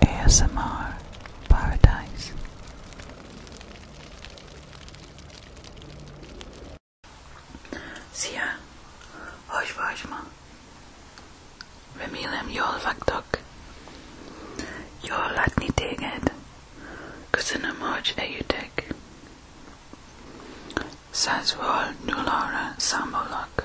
ASMR Paradise. Szia! Hogy vagy ma? Remélem jól vagytok. látni téged. Köszönöm, hogy eljöttek. Százról nullára számolok.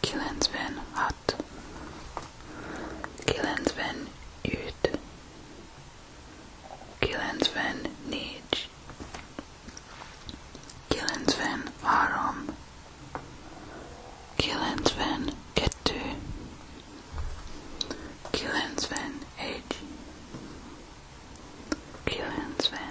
Kilensven had. Kilensven ut. Kilensven nij. Kilensven varom. Kilensven ketty. Kilensven age. Kilensven.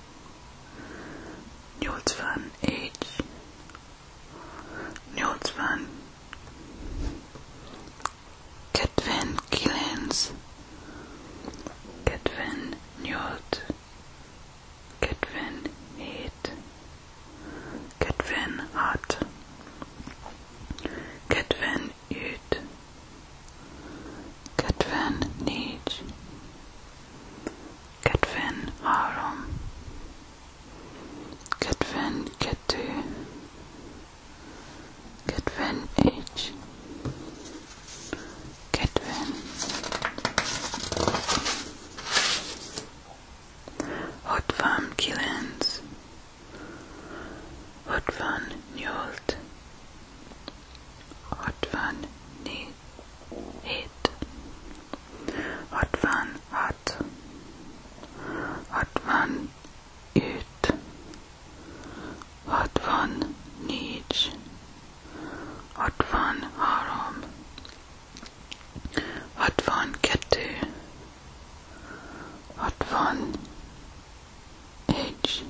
Niels van H. Niels van Ketvin Killens. Ketvin Newt. Ketvin Heat. Ketvin Hart. Ketvin uit. Katven négy. Katven három. Katven kettő. Katven egy. Katven. Hatvan kilenc. Hatvan nyolc. Hatvanhet Hatvanhat Hatvanüt Hatvannic Hatvanhárom Hatvankettő Hatvan H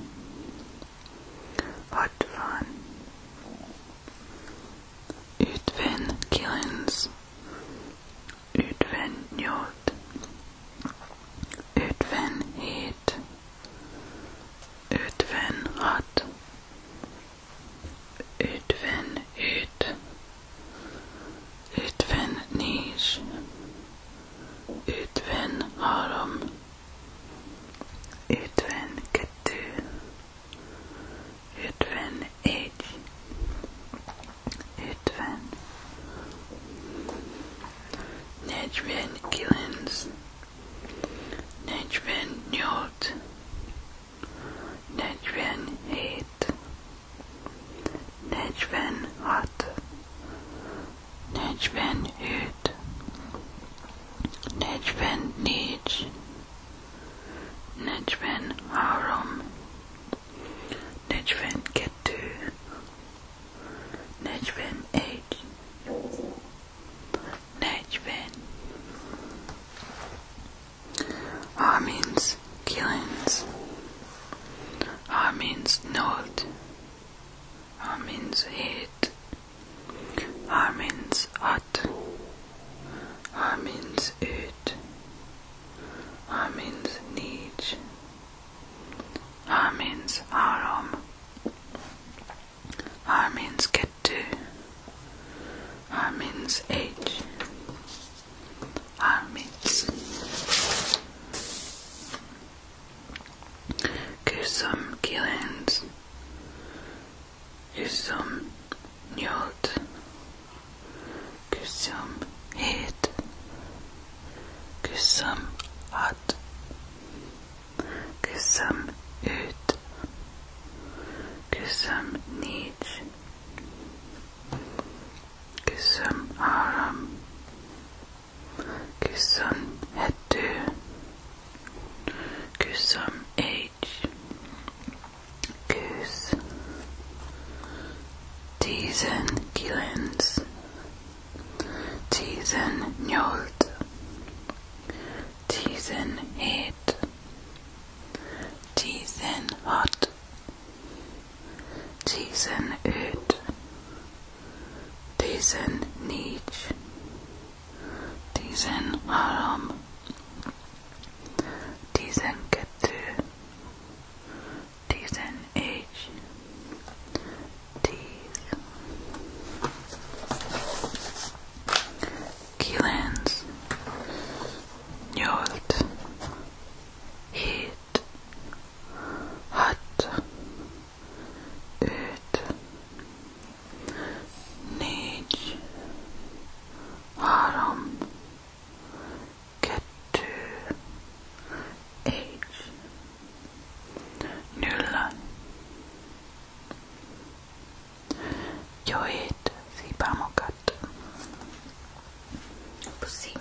Wat van Ütven Killens Ütven Jot Ütven Heat Ütven Hat Ütven Üt Ütven Niche Ütven Harum Yetven Ketu Yetven H Yetven Nejven Gillens Nejven Njord Nejven Hate Nejven Hot Necven Hüt Necven Nij Necven Harum Necven Ketu Necven Eight Necven R means Killens R means North a means heat. A means hot. A means ut. A means niche. A means arom. A means get to. A means age. A means. Kusum Gillens, Kusum Njold, Kusum Head, Kusum Hot, Kusum Ut, Kusum Niche, Kusum Aram, Küssüm hettü. Küssüm each. Küss. Diesen Gillens. Diesen Njold. Diesen Het. Diesen Hot. Diesen Öd diesen nicht, diesen Arm, diesen Kette, diesen Age, dies, Killens, Jolt, Hit, Hat, öt, négy, három, kettő, egy, nulla. Jó hét, szép álmokat! Puszi!